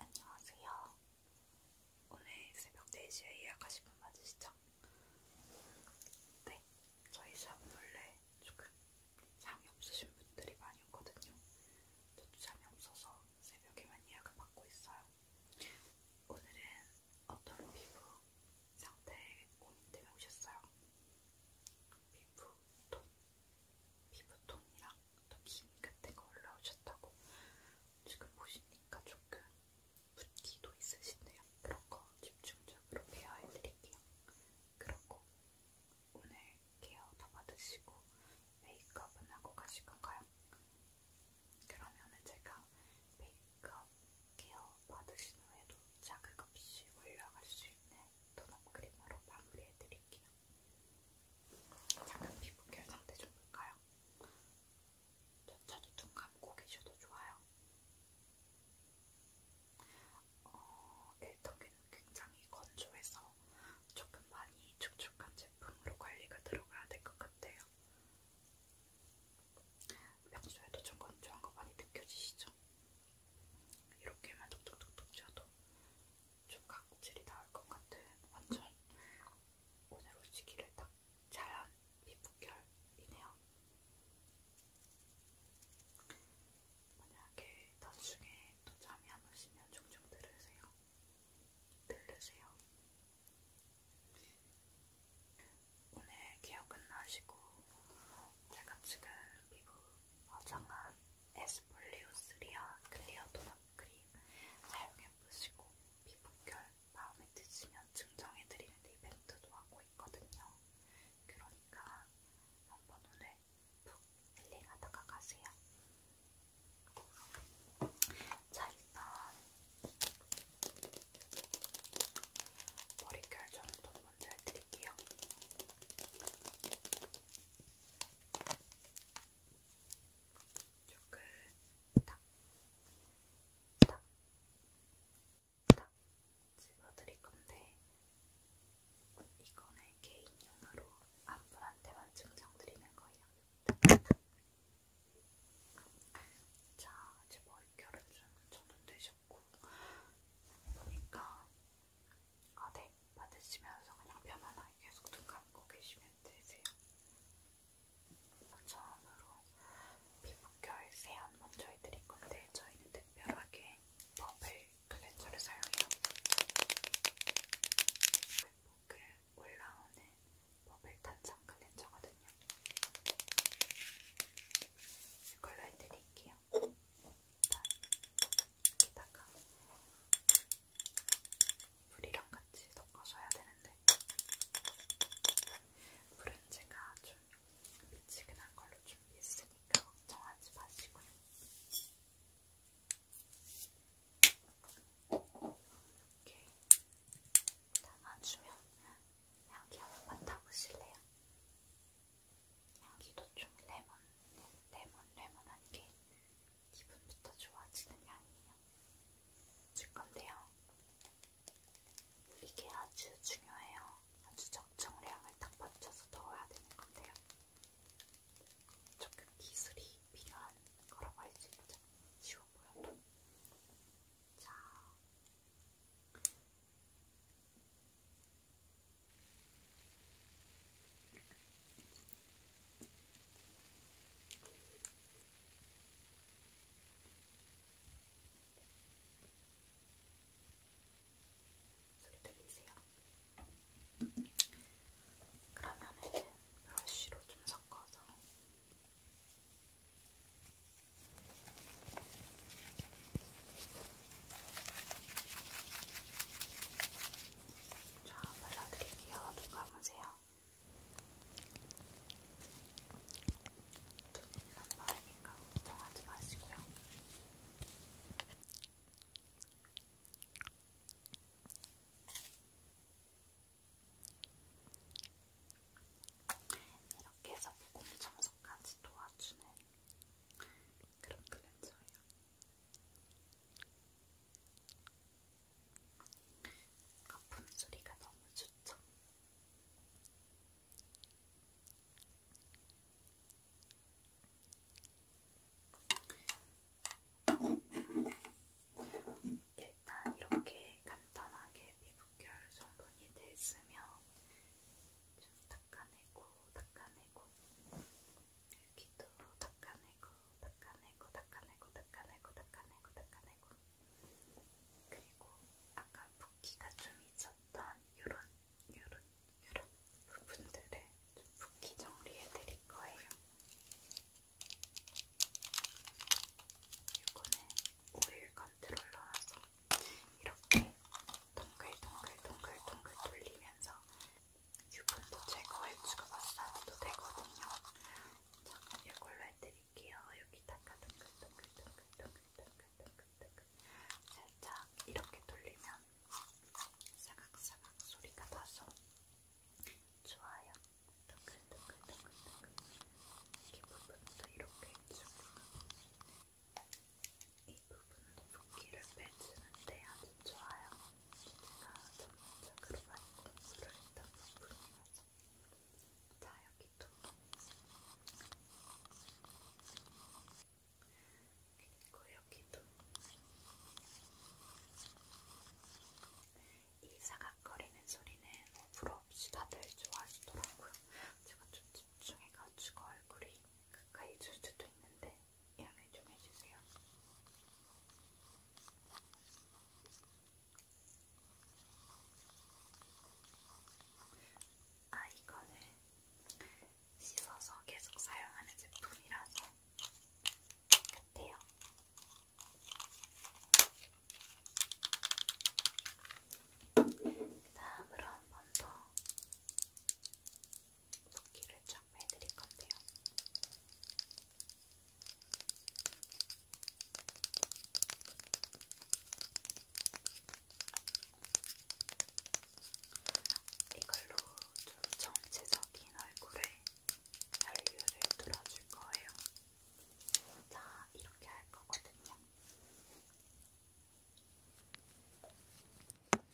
안녕하세요. 오늘 새벽 4시에 예약하신 분 맞으시죠? 네, 저희 샵은 원래 조금 잠이 없으신 분들이 많이 오거든요. 저도 잠이 없어서 새벽에만 예약을 받고 있어요. 오늘은 어떤 피부 상태에 고민 때문에 오셨어요? 피부 톤 피부톤이랑 또 기미 같은 거 올라오셨다고 지금 보시니까 조금 붓기도 있으신데요. 그런 거 집중적으로 케어해드릴게요. 그렇고 오늘 케어 다 받으시고 메이크업은 하고 가실 건가요? 그러면은 제가 메이크업 케어 받으신 후에도 자극 없이 올라갈 수 있는 톤업 크림으로 마무리해드릴게요. 잠깐 피부 결 상태 좀 볼까요? 천천히 눈 감고 계셔도 좋아요. 어, 일터기는 굉장히 건조해서 조금 많이 축축한 제품으로 관리가 들어가야 될 것 같아요. 평소에도 좀 건조한 거 많이 느껴지시죠? 이렇게만 톡톡톡톡 쳐도 좀 각질이 나올 것 같은 완전 오늘 오시기를 딱 잘한 피부결이네요. 만약에 나중에 또 잠이 안 오시면 종종 들으세요. 들으세요. 오늘 기억 끝나시고 제가 지금 피부 화장한 에스폴리오 스리아 클리어 도넛 선크림 사용해보시고 피부결 마음에 드시면 증정해드리는 이벤트도 하고 있거든요. 그러니까 한번 오늘 푹 힐링하다가 가세요. 자, 일단 머릿결 정도 먼저 해드릴게요. 조금 탁, 탁, 탁 집어드릴 건데 이거는 개인용으로 안분한테만 증정드리는 거예요. 자, 이제 머릿결은 좀 정돈되셨고 보니까 아, 네. 받으시면서 그냥 편안하게 계속 눈 감고 계시면 되세요. 처음으로 피부결 세안 먼저 해드릴 건데 저희는 특별하게 버블 클렌저를 사용해요. 그 올라오는 버블 탄산 클렌저거든요. 이걸로 해드릴게요. 여기다가 물이랑 같이 섞어서 해야 되는데 물은 제가 좀 미지근한 걸로 준비했으니까 걱정하지 마시고요. 이렇게 담아주면 향기 한번 맡아보실래요? 향기도 좀 레몬, 레몬, 레몬한 게 기분부터 좋아지는 향이에요. 줄 건데요. 이게 아주 중요해요. 아주 적정량을 딱 맞춰서 넣어야 되는 건데요. 조금 기술이 필요한 거라고 할 수 있죠. 쉬워 보여도. 자, 소리 들리세요? 그러면은 브러쉬로 좀 섞어서 자, 발라드릴게요. 눈 감으세요. 눈 나빠하니까 걱정하지 마시고요. 이렇게 해서 목공 청소까지 도와주는 그런 클렌저예요. 거품 소리가 너무 좋죠? 일단 이렇게 간단하게 피부결 성분이 됐으면 좀 닦아내고 닦아내고 여기도 닦아내고, 닦아내고, 닦아내고, 닦아내고, 닦아내고, 닦아내고. 그리고 아까 붓기가 좀 있었던 요런, 요런, 요런 부분들을 좀 붓기 정리해 드릴 거예요. 이거는 오일 컨트롤러라서 이렇게 동글동글동글동글 동글 동글 동글 돌리면서 유분도 제거해 주고 마사지도 되거든요. 잠깐 이걸로 해드릴게요. 여기다가 동글동글동글동글동글동글동글 살짝 이렇게 돌리면 사각사각 소리가 나서 좋아요. 동글동글동글동글 이 부분도 이렇게 해주고 이 부분은 붓기를 빼주는데 아주 좋아요. 제가 전문적으로 많이 공부를 했던 부분이라서. 자, 여기도 그리고 여기도 이 사각거리는 소리는 불어 없이 다들 좋아하시더라고요. 제가 좀 집중해가지고 얼굴이 가까이 줄 수도 있는데 양해 좀 해주세요. 아, 이거는 씻어서 계속 사용하는 제품이라서 같아요. 그 다음으로 한번더 붓기를 쫙 빼드릴 건데요. 이걸로 좀 전체적인 얼굴에 연류를 뚫어줄 거예요. 자, 이렇게 할 거거든요.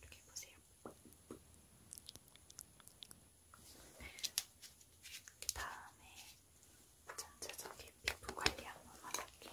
이렇게 보세요. 그 다음에 전체적인 피부 관리 한번 할게요.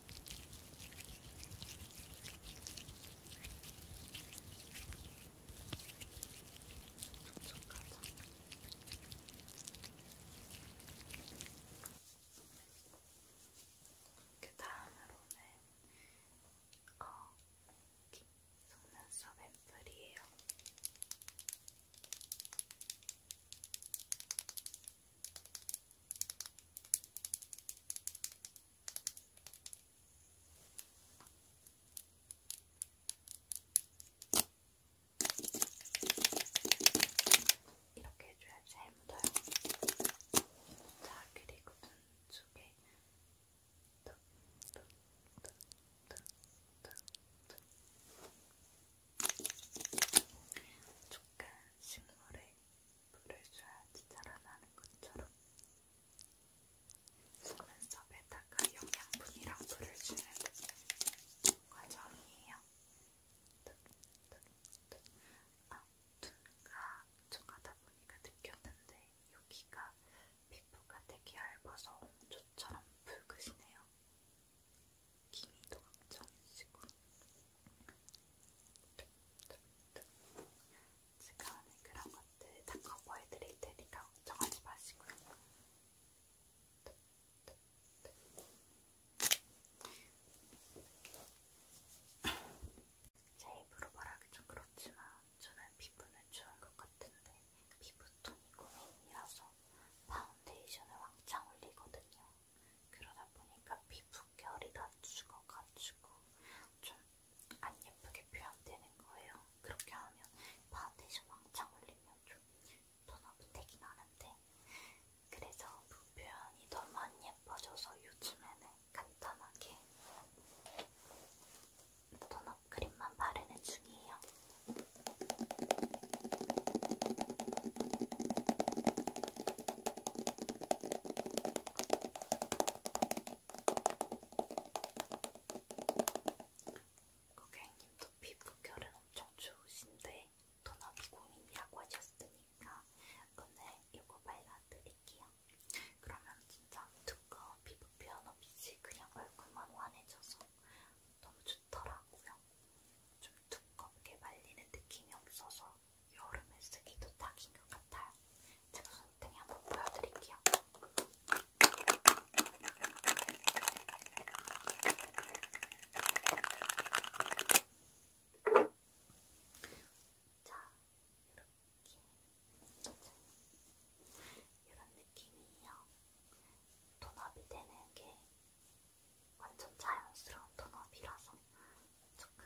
그 다음으로는 어, 속눈썹 앰플이에요. 이렇게 해줘야 잘 묻어요. 자, 그리고 눈쪽에 조금 식물의 물을 줘야지 자라나는 것처럼 속눈썹에다가 영양분이랑 물을 주는 과정이에요. 아, 눈가 쪽하다 보니까 느꼈는데 여기가 피부가 되게 얇아서 엄초처럼 붉으시네요. 기미도 엄청 있으고 제가 하는 그런 것들 다 커버해드릴 테니까 걱정하지 마시고요. 제 입으로 말하기 좀 그렇지만 저는 피부는 좋은 것 같은데 피부톤이 고민이라서 파운데이션을 왕창 올리거든요. 그러다 보니까 피부결이 다 죽어가지고 좀 안 예쁘게 표현되는 거예요. 그렇게 하면 파운데이션 왕창 올리면 좀 톤업되긴 하는데 그래서 표현이 너무 안 예뻐져서 요즘에는 간단하게 톤업 크림만 바르는 중이에요. 고객님도 피부결은 엄청 좋으신데 도넛이 고민이라고 하셨으니까 오늘 이거 발라드릴게요. 그러면 진짜 두꺼운 피부 표현 없이 그냥 얼굴만 환해져서 너무 좋더라고요. 좀 두껍게 말리는 느낌이 없어서 여름에 쓰기도 딱인 것 같아요. 제가 손등에 한번 보여드릴게요. 자, 이렇게. 이런 느낌이에요. 톤업이 되는 게 완전 자연스러운 톤업이라서 조금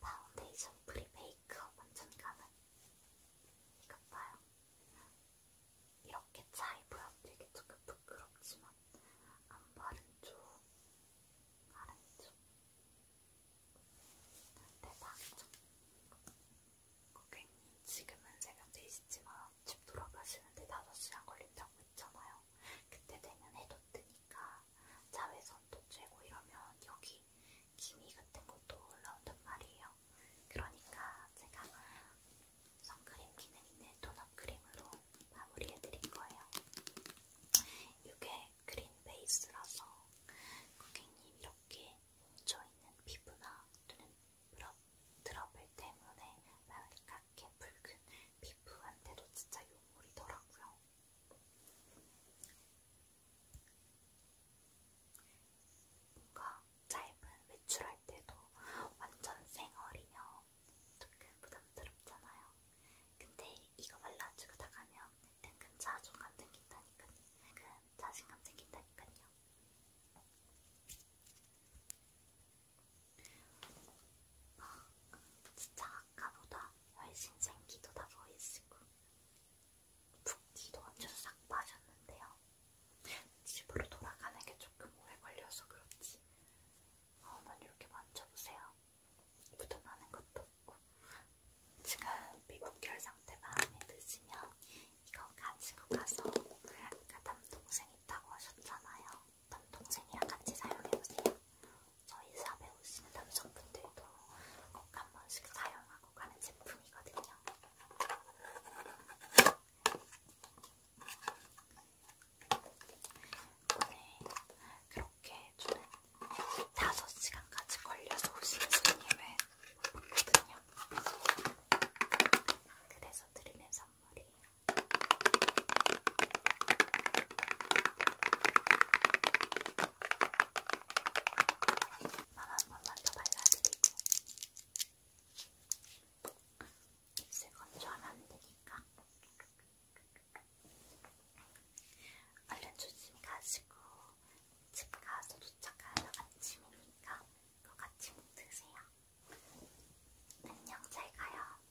파운데이션 프리 메이크업 완전감은 이것 봐요. 이렇게 잘 보여드리기 조금 부끄럽지만 안 바른 쪽, 바른 쪽, 대박이죠? 네, 고객님 어, 지금은 새벽 4시지만 집 돌아가시는데 5시간 걸린다고 했잖아요. 그때 되면 해도 뜨니 있으니까 자외선도 쬐고 이러면 여기 기미 같은 것도 올라온단 말이에요. 그러니까 제가 선크림 기능 있는 톤업 크림으로 마무리해드릴 거예요. 이게 크림 베이스라서 고객님 이렇게 뭉쳐있는 피부나 또는 드러블 때문에 많을까 하얗게 붉은 피부한테도 진짜 용물이더라고요. 뭔가 짧은 외출할 때도 완전 생얼이며 조금 부담스럽잖아요. 근데 이거 발라주고 나가면 은근 자존감 생긴다니까요. 은근 자신감 생긴다니까요. 막 진짜 아까보다 훨씬 생기도 다 보이시고 붓기도 완전 싹 빠졌는데요. 집으로 돌아가는 게 조금 오래 걸려서 그렇지. 한번 이렇게 만져보세요. 묻어나는 것도 없고 지금 미국결 상태 마음에 드시면 이거 가지고 가서 아까 남동생 있다고 하셨잖아요. 남동생이랑 같이 사용해보세요. 저희 샵에 오시는 남성분들도 꼭 한 번씩 사용하고 가는 제품이거든요. 오늘 그렇게 저는 5시간까지 걸려서 오신 손님은 못 봤거든요. 그래서 드리는 선물이 한 네, 번만 더 발라드리고 입술 건조하면 안 되니까 얼른 조심 가시고 집 가서 도착하면 아침이니까 그거 같이 못 드세요. 안녕 잘 가요.